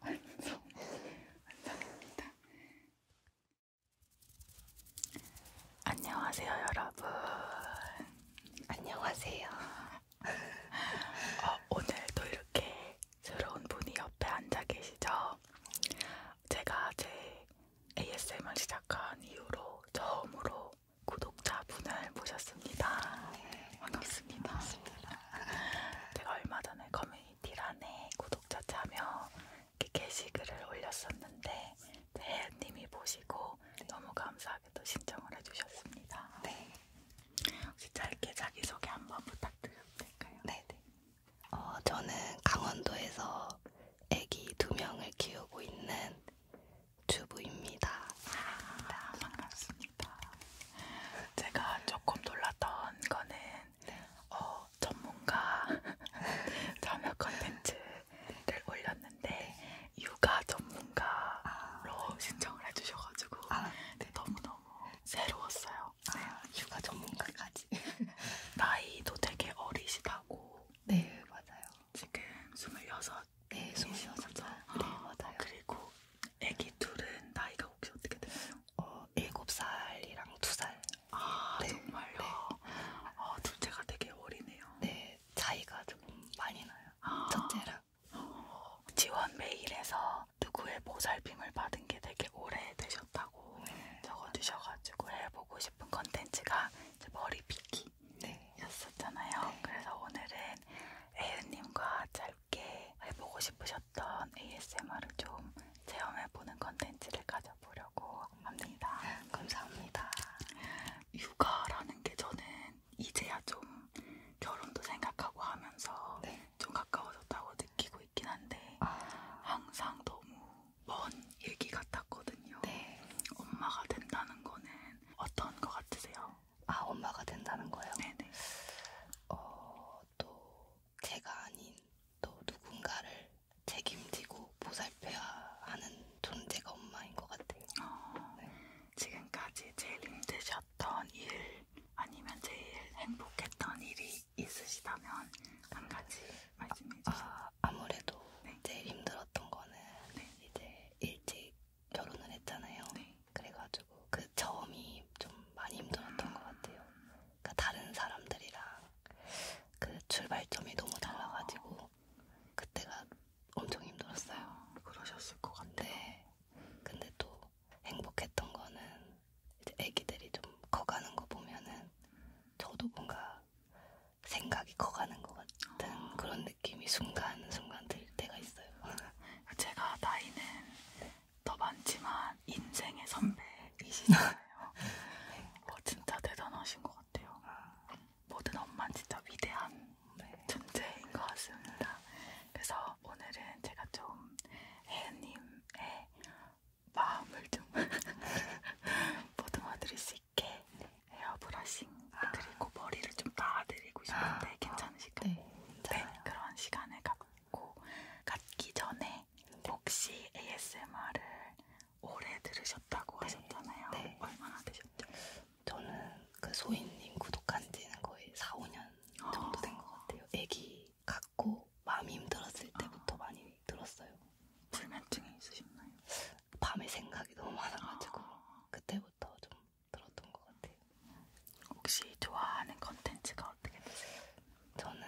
완성 완성입니다. 안녕하세요 여러분. 안녕하세요. 어, 오늘도 이렇게 새로운 분이 옆에 앉아 계시죠? 제가 제 ASMR 시작한 이후로 처음으로 구독자분을 모셨습니다. 네, 반갑습니다. 반갑습니다. 제가 얼마 전에 커뮤니티란에 구독자 참여 게시글을 올렸었는데 대혜님이 보시고 네. 너무 감사하게 또 신청을 해주셨습니다. 네. 혹시 짧게 자기소개 한번 부탁드려도 될까요? 네네. 네. 어, 저는 강원도에서 아기 두 명을 키우고 있는 주부입니다. 아, 반갑습니다. 제가 조금 놀랐던 거는 네. 어, 전문가 자녀 컨텐츠를 올렸는데 육아 전문가로 아, 네. 신청을 해주셔가지고 아, 네. 너무너무 새로웠어요. 아, 네. 육아 전문가까지. 나이도 되게 어리시다고. 네, 맞아요. 지금 26. 네, 26죠. 아, 네, 맞아요. 그리고 애기 둘은 나이가 혹시 어떻게 되나요? 어, 7살이랑 2살. 아, 네. 정말요? 네. 아, 둘째가 되게 어리네요. 네, 차이가 조금 많이 나요. 아. 첫째랑. 어, 지원 메일에서 누구의 보살핌을 받은 게 되게 오래 되셨다고 네. 적어주셔가지고 해보고 싶은 컨텐츠가 머리 빗기 네. 였었잖아요. 네. 그래서 오늘은 에유님과 짧게 해보고 싶으셨던 ASMR을 좀 체험해보는 컨텐츠를 가져보려고 합니다. 감사합니다. 육아라는 게 저는 이제야 좀 결혼도 생각하고 하면서 네. 좀 가까워졌다고 느끼고 있긴 한데 아... 항상 너무 먼 얘기 같았거든요. 네. 엄마가 된다는 거는 어떤 거 같으세요? 아, 엄마가 된다는 거예요? 네네. 어, 또 제가 아닌 또 누군가를 책임지고 보살펴야 하는 존재가 엄마인 것 같아요. 어, 네. 지금까지 제일 힘드셨던 일 아니면 제일 행복했던 일이 있으시다면 한 가지 말씀해 주세요. 아, 아무래도 네. 제일 힘들었던 거는 네. 이제 일찍 결혼을 했잖아요. 네. 그래가지고 그 점이 좀 많이 힘들었던 아... 것 같아요. 그러니까 다른 사람들이랑 그 출발점이 너무 달라가지고 아... 그때가 엄청 힘들었어요. 아, 그러셨을 것 같아요. 네. 근데 또 행복했던 거는 이제 애기들이 좀 커가는 거 보면은 저도 뭔가 생각이 커가는 것 같은 어. 그런 느낌이 순간순간 들 때가 있어요. 제가 나이는 네. 더 많지만 인생의 선배이시잖아요. 네. 어, 진짜 대단하신 것 같아요. 아. 모든 엄마 진짜 위대한 네. 존재인 것 같습니다. 그래서 오늘은 제가 좀 혜은님의 마음을 좀 보듬어드릴 수 쉽게 헤어 브러싱 아. 그리고 머리를 좀 닿아드리고 싶은데 아. 괜찮으실까요? 네, 네, 그런 시간을 갖고 갖기 전에 네. 혹시 ASMR을 오래 들으셨다고 네. 하셨잖아요. 네. 얼마나 되셨죠? 저는 그 소희님 구독한 지는 거의 4, 5년 정도 된것 아. 같아요. 애기 갖고 마음이 힘들었을 때부터 아. 많이 들었어요. 불면증이 있으셨나요? 밤에 생각이 너무 많아가지고 아... 그때부터 좀 들었던 것 같아요. 혹시 좋아하는 컨텐츠가 어떻게 되세요? 저는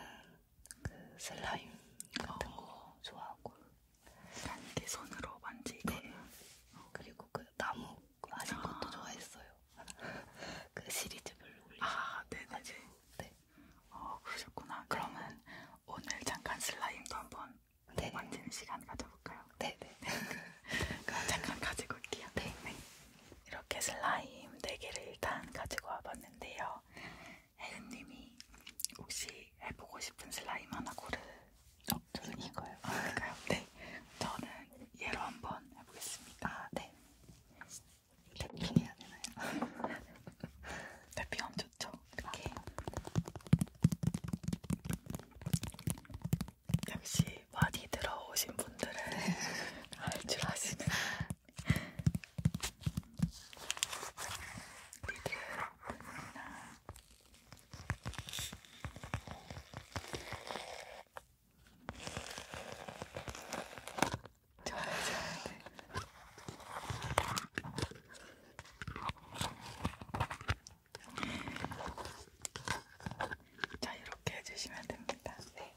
그 슬라임 같은 어... 거 좋아하고 난 이렇게 손으로 만지고 네. 그리고 그 나무 아닌 아. 것도 아... 좋아했어요. 그 시리즈별로 올리고 아, 네네네. 네. 어, 그러셨구나. 그러면 오늘 잠깐 슬라임도 한번 네. 만지는 시간 가져볼까요? 네네. 네. 네. 그럼 잠깐 가지고 올게요. 네. 네. 이렇게 슬라임 4개를 일단 가지고 와봤는데요. 혜은님이 혹시 해보고 싶은 슬라임 하나 고르. 어, 저는 이거요. 아, 그러니까요. 네. 저는 얘로 한번 해보겠습니다. 아, 네. 대핑이 아니나요? 대핑 엄청 좋죠. 이렇게 역시 많이 들어오신 분들은 할줄 아시는 리드 좋아요, 좋아요. 자, 이렇게 해주시면 됩니다. 네.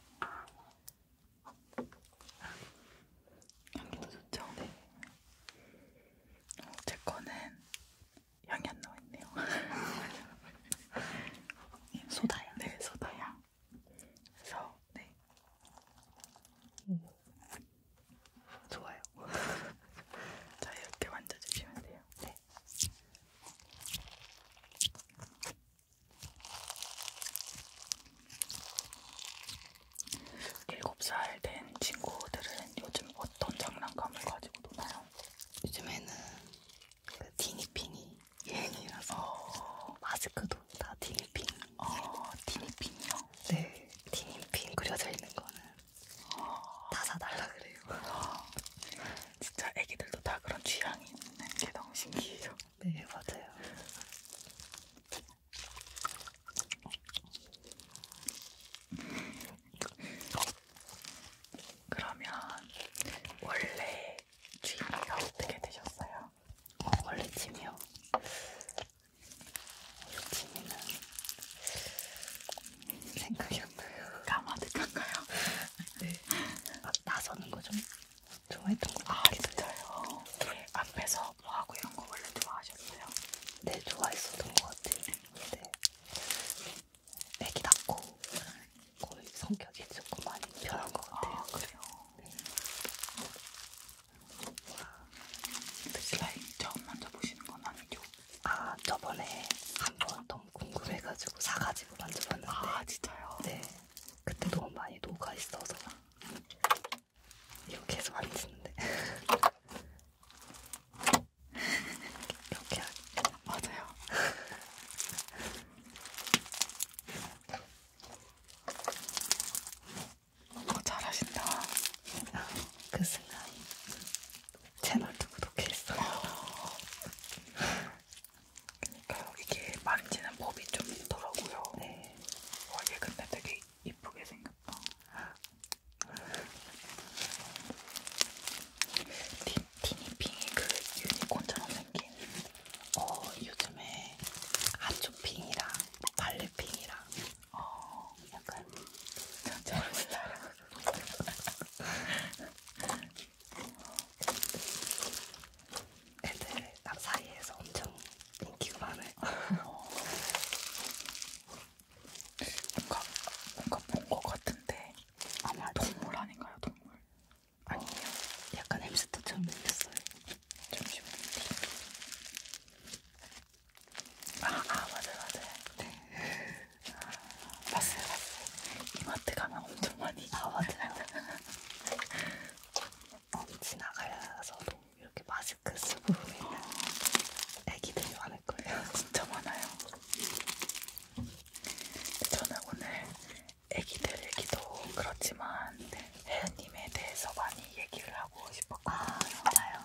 향기도 좋죠? 네. 어, 제 거는 향이 안 나와 있네요. 소다향? 네, 소다향. 그래서, 네. 음. 좋아요. 자유롭게 만져주시면 돼요. 네. 일곱 살 된 친구들은 요즘 어떤 장난감을 가지고 노나요? 요즘에는 그 디니핑이 유행이라서 어... 마스크도 다 디니핑. 어, 디니핑이요? 네. 티니핑 그려져 있는 거는 다 사달라 그래요. 진짜 애기들도 다 그런 취향이 있는 게 너무 신기해요. 네, 맞아요. 그러면 원래 취미가 어떻게 되셨어요? 어, 원래 취미요? 욕심이는 생각이 안 나요. 까마득한가요? 네. 아, 나서는 거좀 좋아했던 거 같아요. 아, 진짜요? 네. 앞에서 뭐하고 이런 거 원래 좋아하셨어요? 네, 좋아했었던 것 같아요. 근데 네. 애기 낳고 거의 성격이 조금 많이 변한 것 같아요. 아, 그래요? 네. 슬라임 처음 먼저 보시는 건 아니죠? 아 저번에 한번 너무 궁금해가지고 사가지고 만져봤는데 아 진짜요? 네 그때 너무 많이 녹아 있어서 이렇게 해서 만지는데 이렇게 맞아요. 어, 잘하신다. 그 순간 채널도 구독했어요. 그러니까요. 이게 만지는 법이 좀 있더라고요. 네. 와, 어, 얘 근데 되게 이쁘게 생겼다. 티니핑이 그 유니콘처럼 생긴 어 요즘에 핫초핑이랑 발레핑이랑 어, 약간 잘 몰라요. 애들 남 사이에서 엄청 인기가 많아요. 어. 뭔가 뭔가 본 것 같은데 아마 동물 아닌가요, 동물? 아니요, 약간 햄스터처럼 생겼어요. 잠시만요. 아, 아 맞아요 맞아요 네 아, 봤어요 봤어요 이마트 가면 엄청 많이 아 맞아요 어, 지나가서도 이렇게 마스크 쓰고 있는 애기들이 많을 거예요 진짜 많아요 저는 오늘 애기들 얘기도 그렇지만 네, 혜연님에 대해서 많이 얘기를 하고 싶었거든요. 아, 진짜요?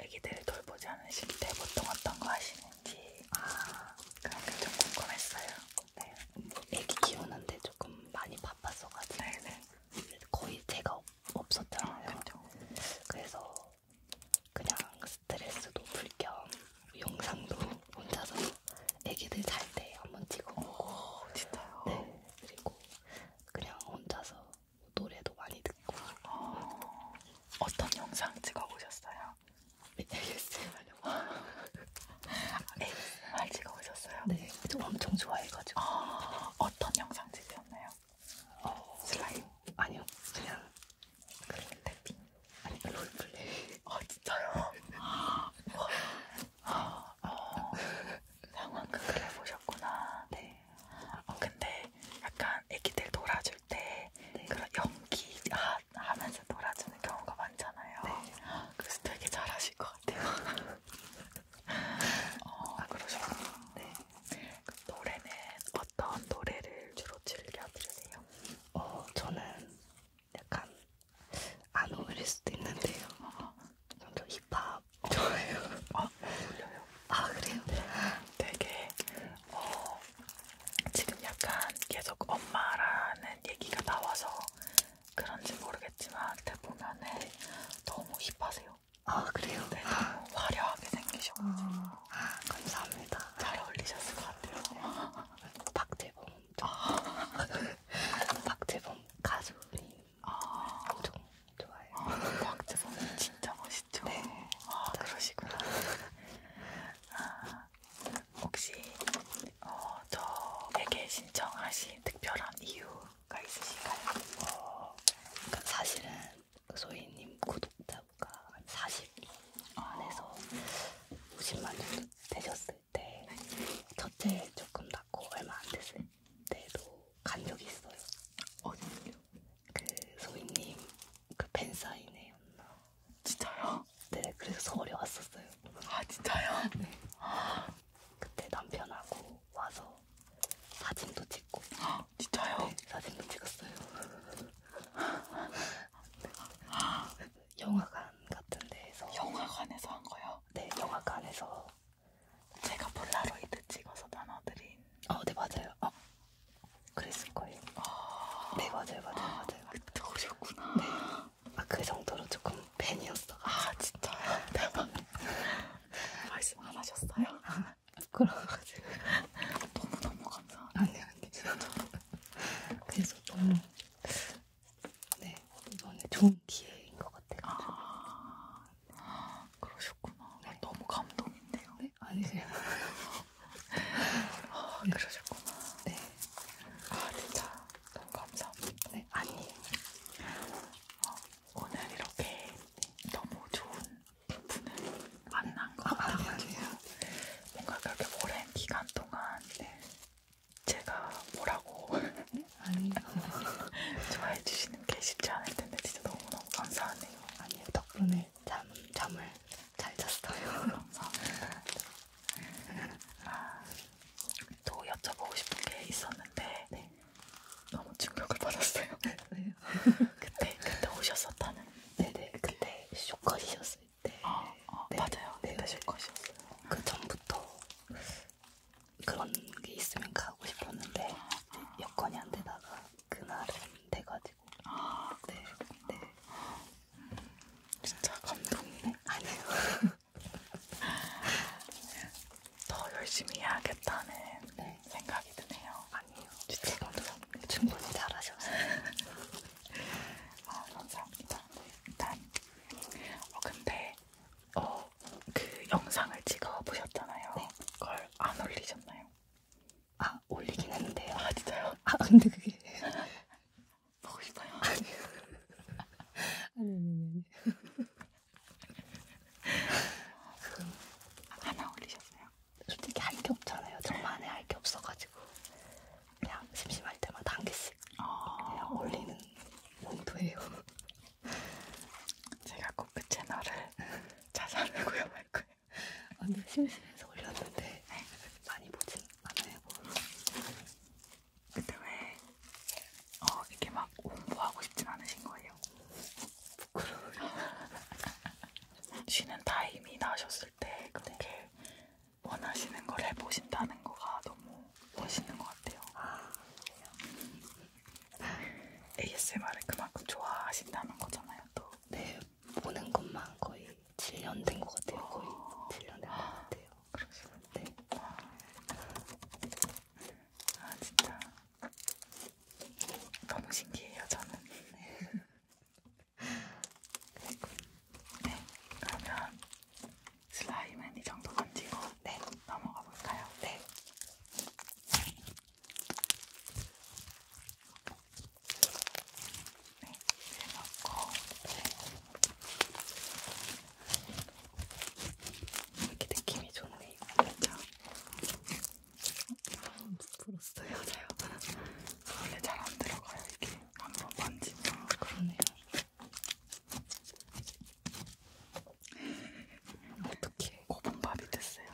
아기들을 돌보지 않으실 때 보통 어떤 거 하시는지 아, 그런 게좀 궁금했어요. 네. 애기 키우는데 조금 많이 바빴어가지고 네네. 거의 제가 없었잖아요. 아, 그렇죠. 그래서 그냥 스트레스도 풀 겸 영상도 혼자서 애기들 잘 때 한번 찍어보고 오, 진짜요? 네. 그리고 그냥 혼자서 노래도 많이 듣고 어... 어떤 영상 찍어보셨어요? 네, ASMR ASMR 찍어보셨어요? 네, 좀 엄청 좋아해가지고 어... 어떤 영상 찍으셨나요? 어... 슬라임? 아니요, 그냥 그런 탭핑 아니, 롤플레이 아, 진짜요? 아, 어, 상황극 그래 보셨구나. 네. 어, 근데 약간 애기들 놀아줄 때 네. 그런 연기 하, 하면서 놀아주는 경우가 많잖아요. 네. 그래서 되게 잘하실 것 같아요. 어, 아, 그러셨구나. 네. 그 노래는 어떤 노래를 주로 즐겨 들으세요? 어, 저는 약간 안 어울릴 수도 있는데요. 어. 좀 힙합 저예요. 아, 울려요. 아, 그래요? 네, 되게 어, 지금 약간 계속 엄마라는 얘기가 나와서 그런지 모르겠지만 대보면은 너무 힙하세요. 아, 그래요? 네, 너무 화려하게 생기셔가지고 아, 감사합니다. 잘 어울리셨을 것 같아요. 박재범, 아. 박재범 가수님 아, 엄청 좋아해요. 아, 곽재 선생님 진짜 멋있죠? 네. 아, 아, 그러시구나. 아, 혹시 어, 저에게 신청하신 특별한 이유가 있으신가요? 어, 그러니까 사실은 소희님 구독자가 40 안에서 50만 정도 되셨을 때 네. 첫째 조금 낮고 얼마 안 됐을 때도 간 적이 있어요. 어디요? 그 소희님 그 팬사인회였나? 진짜요? 네, 그래서 서울에 왔었어요. 아 진짜요? 네. 그때 남편하고 와서 사진도 찍고. 아 진짜요? 네, 사진도 찍었어요. 그 영화관 같은 데에서. 영화관에서 한 거요? 네, 영화관에서 제가 폴라로이드 찍어서 나눠드린. 아, 네 맞아요. 아, 그랬을 거예요. 아, 네 맞아요, 맞아요, 아, 맞아요. 그때 오셨구나. 네. 아, 그 정도로 조금 팬이었어. 아, 진짜요? 대박. 아, 네. 말씀 안 하셨어요? 그래가지고 너무 너무 감사합니다. 아니 아니 네, 네. 진짜. 그래서 너무 네 이번에 좋은 기회인 것 같아요. 아, 아, 그러셨구나. 네. 너무 감동인데요. 네? 아니세요? 아, 네. 그러셨구나. 네. 아, 진짜 너무 감사합니다. 네, 아니에요. 어, 아, 오늘 이렇게 너무 좋은 분을 만난 것 아, 같아가지고 아, 뭔가 그렇게 오랜 기간 동안 네. 제가 뭐라고 네? 아니 좋아해 주시는 게 쉽지 않을 텐데 진짜 너무너무 감사하네요. 아니요 덕분에 잠 잠을 잘 잤어요. 감사합니다. 아, 또 여쭤보고 싶은 게 있었는데 네. 너무 충격을 받았어요. 네. 그때 그때 오셨었다는. 네네 네, 그때 쇼컷이셨을 때. 아, 아 네. 맞아요. 네. 그때 네. 쇼컷이었어요. 그 전부터 그런 게 있으면 가고 싶었는데 여건이 안 되다가 그날은 돼가지고 아, 네, 네. 음, 진짜 감동이네. 네, 아니요. 더 열심히 해야겠다는 네. 생각이 드네요. 아니요. 진짜 네, 감사합니다. 충분히 잘하셨어요. 아, 감사합니다. 일단, 네. 어, 근데 어, 그 영상을 찍어 보셨잖아요. 네. 그걸 안 올리셨나요? 아, 올리긴 했는데요. 아, 진짜요? 아, 근데 그게 보고 싶어요. 아니, 아니, 아니, 아니. 그럼 하나 올리셨어요? 솔직히 할 게 없잖아요. 저만에 할 게 없어가지고 그냥 심심할 때마다 한 개씩 아... 그냥 올리는 용도예요. 제가 코크 채널을 자산을 구현할 거예요. 완전 심심해서 올렸는데 네. 많이 보진 않아요. 근데 왜 어, 이렇게 막 홍보하고 싶진 않으신 거예요? 부끄러워요. 쉬는 타임이 나셨을 때 그렇게 네. 원하시는 걸 해보신다는 거가 너무 멋있는 것 같아요. 아, 음. ASMR을 그만큼 좋아하신다는 거잖아요, 또. 네, 보는 것만 거의 7년 된 것 같아요. 거의 7년 된 것 같아요. 그러시군요. 네. 아, 아, 진짜. 너무 신기해요, 저는. 네. 네, 그러면 슬라임은 이 정도 건지고 네. 넘어가 볼까요? 네. 네, 넣고 이렇게 느낌이 좋네요. 그렇죠? 음, 풀었어요, 저요. 원래 잘 안 들어가요, 이게. 한번 만지면 그러네요. 어떻게 고분밥이 됐어요?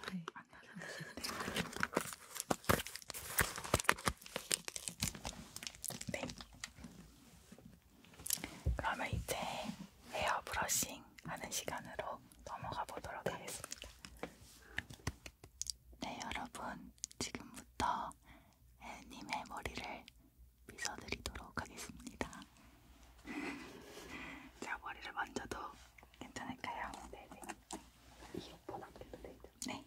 네. 네. 그러면 이제 헤어 브러싱 하는 시간으로 넘어가 보도록 하겠습니다. 네, 여러분. 지금부터 혜님의 머리를 빗어드리도록 하겠습니다. 자, 머리를 만져도 괜찮을까요? 네네. 네. 이어폰 앞에도 되죠? 네.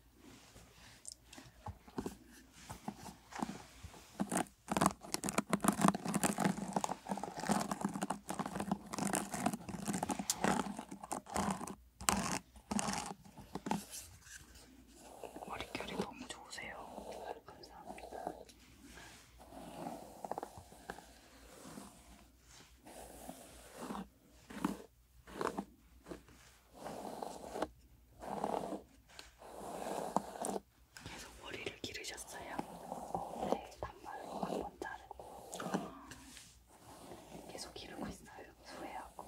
머릿결이 너무 좋으세요. 감사합니다. 계속 머리를 기르셨어요? 네, 단발로 한번 자르고 아. 계속 기르고 있어요. 소외하고.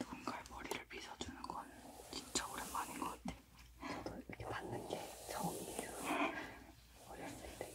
누군가의 머리를 빗어주는 건 진짜 오랜만인 것 같아. 저도 이렇게 받는 게 처음이에요. 어렸을 때.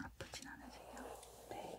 아프진 않으세요? 네.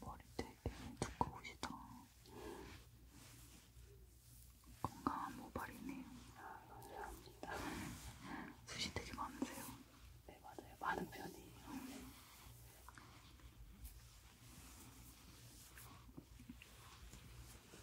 머리 되게 두꺼우시다. 건강한 모발이네요. 아, 감사합니다. 숱이 되게 많으세요. 네, 맞아요. 많은 편이에요. 네.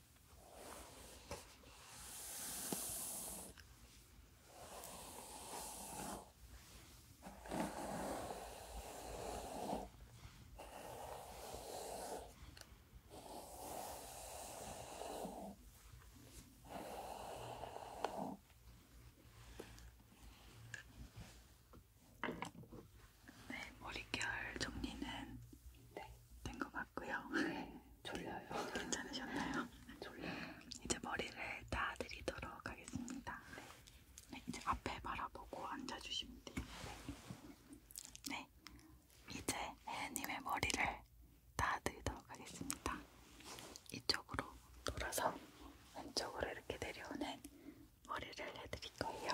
네, 머릿결 정리는 네, 된것 같고요. 네, 졸려요. 괜찮으셨나요? 졸려요. 이제 머리를 따드리도록 하겠습니다. 네. 네, 이제 앞에 바라보고 앉아주시면 돼요. 네, 네 이제 혜연님의 머리를 따드리도록 하겠습니다. 이쪽으로 돌아서 왼쪽으로 이렇게 내려오는 머리를 해드릴 거예요.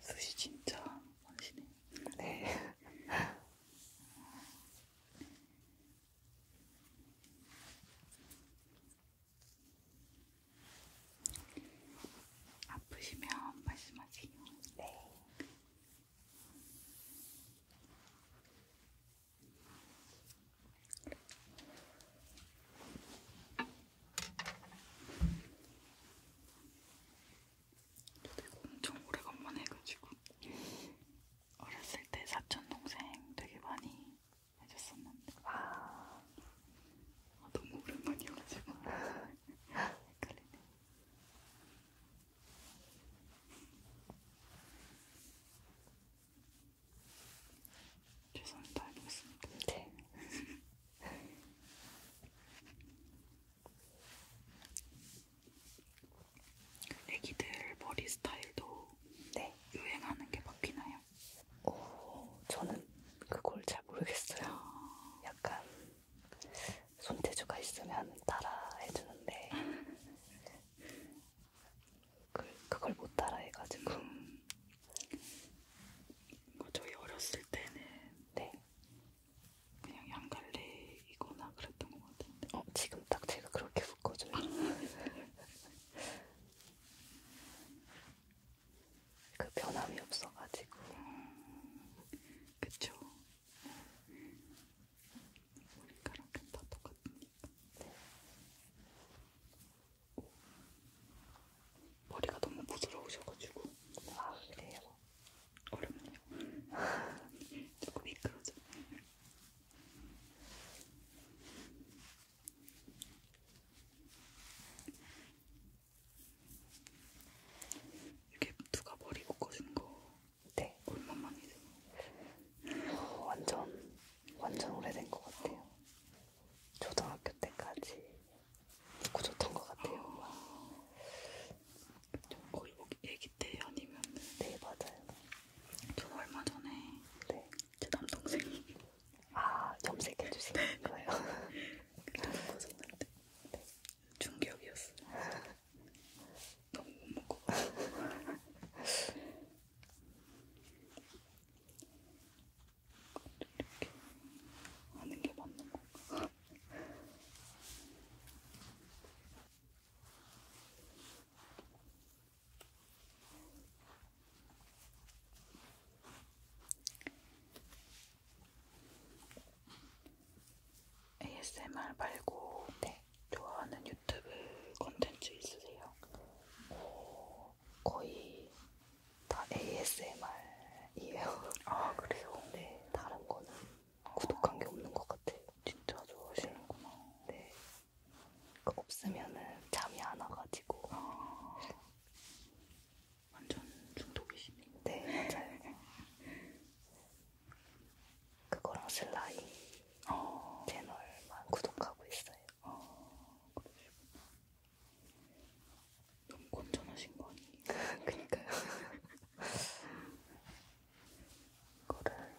수시 진짜 맛있네. 네. 아프시면 말씀하세요. 네. 저도 이거 엄청 오래간만에 해가지고 어렸을 때 사촌 동생 되게 많이 해줬었는데 아, 아 너무 오랜만이어가지고 헷갈리네 최선을 다해보겠습니다 네 애기들 머리 스타일도 네. 유행하는 게 바뀌나요? 어, 저는 그걸 잘 모르겠어요. 약간 손재주가 있으면 따라 해주는데 그, 그걸 못 따라 해가지고 뭐 저희 어렸을 때는 네. 그냥 양갈래이거나 그랬던 것 같은데 어, 지금 딱 제가 그렇게 묶어줘요. 그 변함이 없어가지고 그쵸? 머리카락은 다 똑같으니까 네. 머리가 너무 부드러우셔가지고 아 그래요? 어렵네요 조금 미끄러져 이게 누가 머리 묶어주는 거 네. 얼마만이세요? 어, 완전 완전 오래된 것 같아요. 초등학교 때까지 묶고 줬던 것 같아요. 어... 거의 뭐 애기 때 아니면? 네 맞아요. 저는 얼마 전에 네. 제 남동생이 아 염색해 주신 네. 거예요? 그래서 벗었는데 네. 충격이었어. 너무 못 먹고. 이렇게 하는 게 맞는 건가? ASMR 말고 네, 좋아하는 유튜브 콘텐츠 있으세요? 오, 거의 다 ASMR이에요. 아 그래요? 네, 다른 거는 구독한 게 없는 것 같아요. 진짜 좋아하시는구나. 네, 없으면은 잠이 안 와가지고. 아, 완전 중독이시네. 네, 맞아요. 그거랑 슬라이 아, 어. 채널만 구독하고 있어요. 아, 그러시구나. 너무 건전하신 거 아니에요? 그니까요. 이거를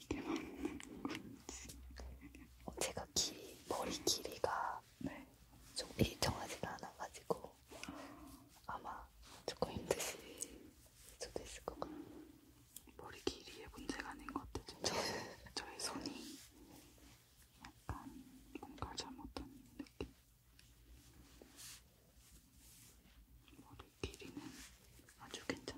이게 맞는 건지. 어, 제가 기, 머리 길이가 네. 좀 일정하지가 않아가지고 아마 조금 힘드실 수도 있을 것 같아요. 머리 길이의 문제가 아닌 것 같아요. 저의, 저의 손이 약간 뭔가 잘못된 느낌. 머리 길이는 아주 괜찮네요.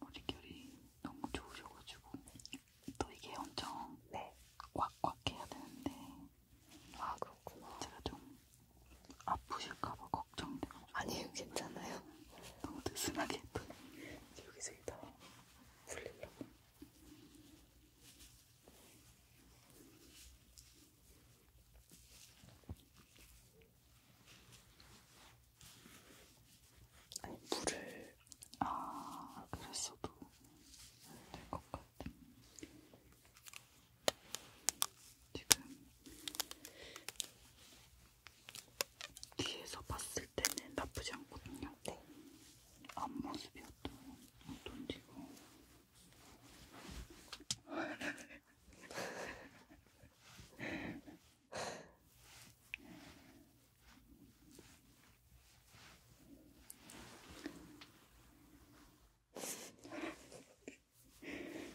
머릿결이 너무 좋으셔가지고 또 이게 엄청 네. 꽉꽉 해야 되는데 아 그렇구나 제가 좀 아프실까봐 걱정돼요. 아니에요, 괜찮아요. 너무 느슨하게 했더 여기서 이따 풀리려고. 아니 물을 아 그랬어도 될 것 같아. 지금 뒤에서 봤을 때는 나쁘지 않거든요. 네. 앞모습이 어떤, 어떤지 그냥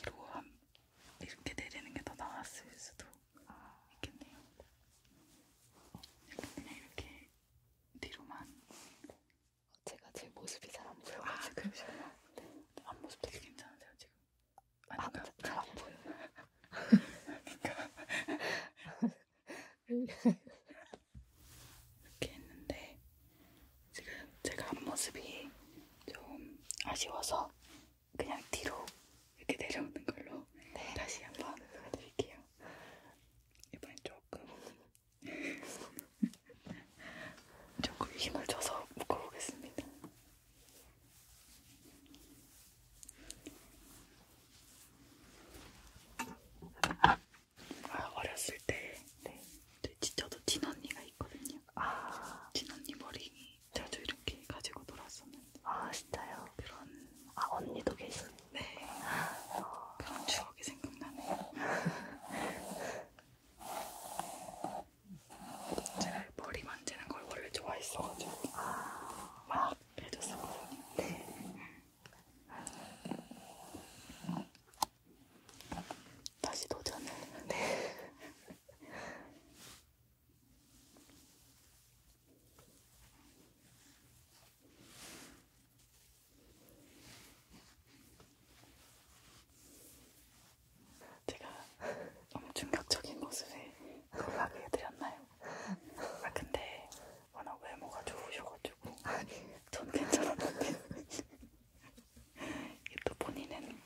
뒤로 함 이렇게 내리는 게 더 나았을 수도 있겠네요. 그냥 이렇게 뒤로만. 제가 제 모습이 잘안 보여가지고. 아, 그러시구나. 네. 앞모습 되게 괜찮으세요 지금? 아, 잘안 보여요. 그러니까. 이렇게 했는데 지금 제가 앞모습이 좀 아쉬워서 그냥 뒤로 이렇게 내려오는 걸로 네. 다시 한번 보여드릴게요. 이번엔 조금 조금 힘을 줘서 묶어보겠습니다. 아, 어렸을 때. 네. 저도 친언니가 있거든요. 아. 친언니 머리 자주 이렇게 가지고 놀았었는데. 아, 진짜요? 그런. 아, 언니도 계신? 네. 어. 그런 추억이 생각나네요. 제가 머리 만지는 걸 원래 좋아했어가지고. 아. 막 해줬었거든요. 네. 다시 도전을. 네. 제가 엄청 격적인 모습에 놀라게 해드렸나요? 아 근데 워낙 외모가 좋으셔가지고 아니 전 괜찮았는데 이게 또 본인은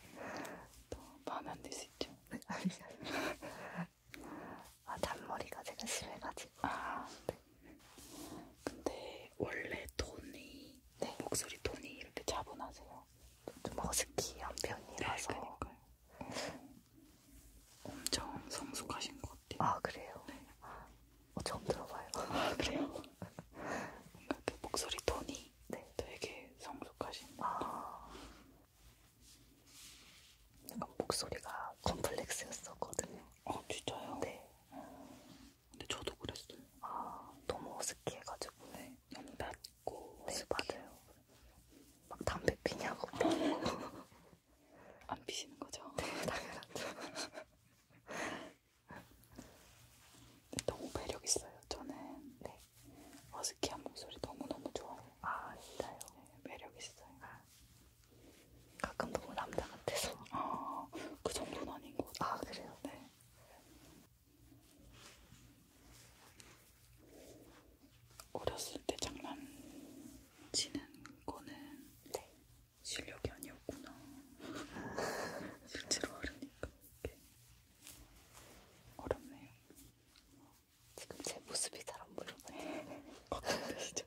또 마음에 안들수 있죠. 아 잔머리가 제가 심해가지고. 아 네. 근데 원래 톤이 네. 목소리 톤이 이렇게 차분하세요. 좀 허스키한 편이라서. 네, 그러니까요. 음, 엄청 성숙하신 것 같아요. 아 그래요. 네. 어, 처음 들어봐요. 아, 그래요? 뭔가 그 목소리 톤이 네. 되게 성숙하신. 아, 약간 목소리가 컴플렉스였었거든요. 아, 진짜요? 네. 근데 저도 그랬어요. 아, 너무 어색해가지고. 네, 너무 낮고. 네, 어색해. 맞아요. 막 담배 피냐고. 안 피시는 거죠? 네, 당연하죠. 너무 매력 있어요. 저는 네. 어스키한 목소리 너무 너무 좋아해요. 아 진짜요? 네, 매력 있어요. 아. 가끔 너무 남자 같아서. 아, 그 정도는 아닌 것 같아요. 아 그래요? 네. 어렸을 때 장난치는 거는 네. 실력이 아니었구나. 실제로 하려니까 이게 어렵네요. 지금 제 모습이 잘안 보여요. 걱정되시죠?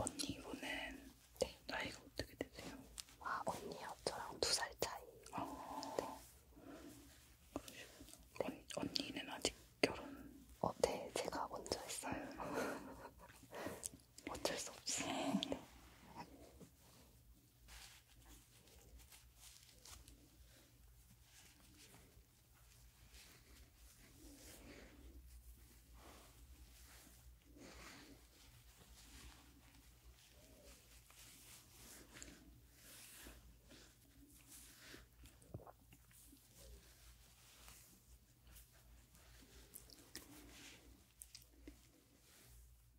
언니 이번엔 네. 나이가 어떻게 되세요? 아 언니요? 저랑 두 살 차이 아, 네. 그러시구나 네. 언, 언니는 아직 결혼? 어, 네 제가 먼저 했어요 어쩔 수 없이. 네.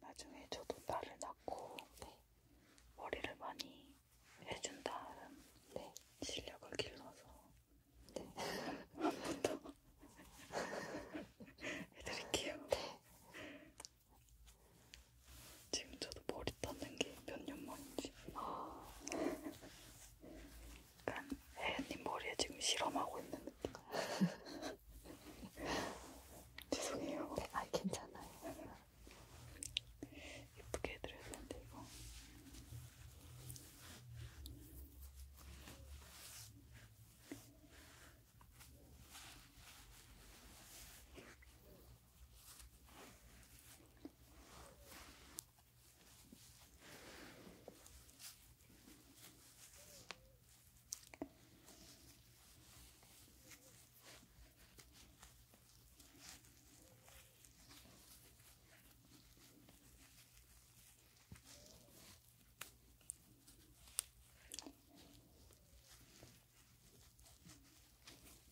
나중에 저도 딸을 낳고 네. 머리를 많이 해준 다음 네. 실력을 길러서 네. 한번 더 해드릴게요. 네. 지금 저도 머리 떴는 게 몇 년 만인지. 아... 약간 혜연님 네 머리에 지금 실험하고 있는 느낌. 죄송해요. 네, 아 괜찮아요. 예쁘게 해드려야 되는데 이거.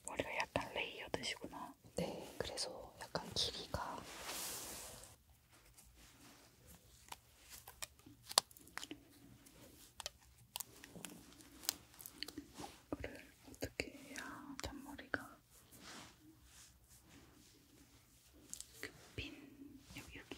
머리가 약간 레이어드시구나. 네, 그래서 약간 길이가 이거를 어떻게 해야 잔머리가 그핀 여기 여기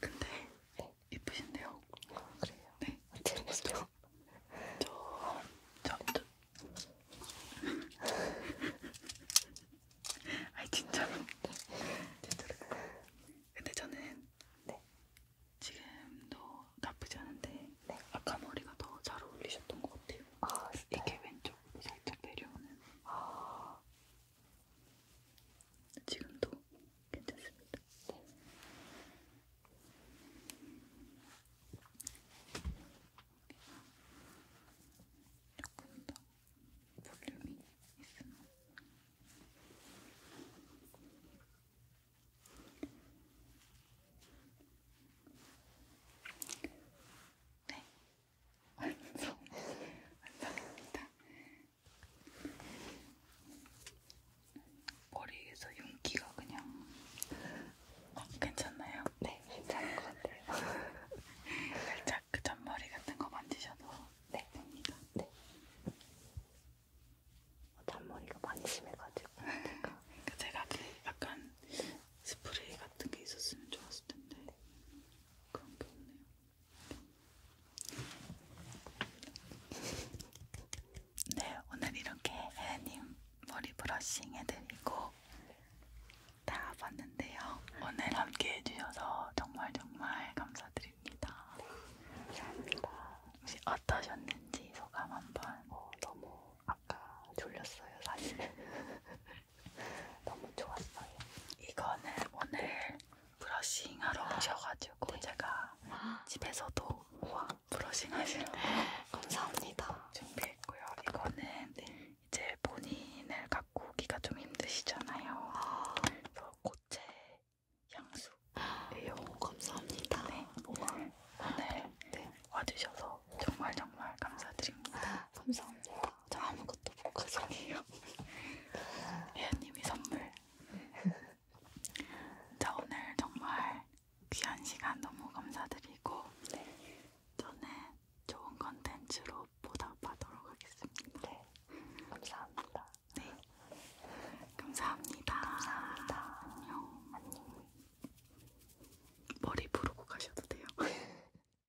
근데 네. 예쁘신데요? 아, 그래요? 네. 재밌어요. 저, 저, 저. 아이 진짜로. 진짜로. 근데 저는 네. 지금도 나쁘지 않은데 네. 아까 머리가 더 잘 어울리셨던 것 같아요. 아, 이게 왼쪽으로 살짝 내려오는. 아, 지금도 괜찮습니다. 조금 더 볼륨이 있으면 네, 완성 완성입니다. 머리에서 윤기가 그냥 어, 괜찮나요? 네, 괜찮은 것 같아요. 살짝 그 잔머리 같은 거 만지셔도 네. 됩니다. 네. 어, 잔머리가 많이 심해가지고 제가 그러니까 제가 그 약간 스프레이 같은 게 있었으면 좋았을 텐데. 네. 그런 게 없네요. 네, 오늘 이렇게 혜연님 머리 브러싱 해드리고 다 봤는데요. 오늘 함께 해주셔서 정말 정말 감사드립니다. 감사합니다. 혹시 어떠셨는지 소감 한번. 어, 너무 아까 졸렸어요, 사실. 너무 좋았어요. 이거는 오늘 브러싱하러 오셔가지고 네. 제가 집에서도 우와 브러싱하시라고 감사합니다. 준비했고요. 이거는 네. 이제 본인을 갖고 오기가 좀 힘드시잖아요. 아. 그래서 고체 향수예요. 오, 감사합니다. 네, 네. 오늘, 오늘 네. 와주셔서 정말 정말 감사드립니다. 아, 감사합니다. 저 아무것도 못 가져요. 예님이 선물. 자 오늘 정말 귀한 시간 너무 감사드리고 네. 저는 좋은 컨텐츠로 보답하도록 하겠습니다. 네. 감사합니다. 네. 감사합니다. 감사합니다. 안녕. 안녕. 머리 부르고 가셔도 돼요.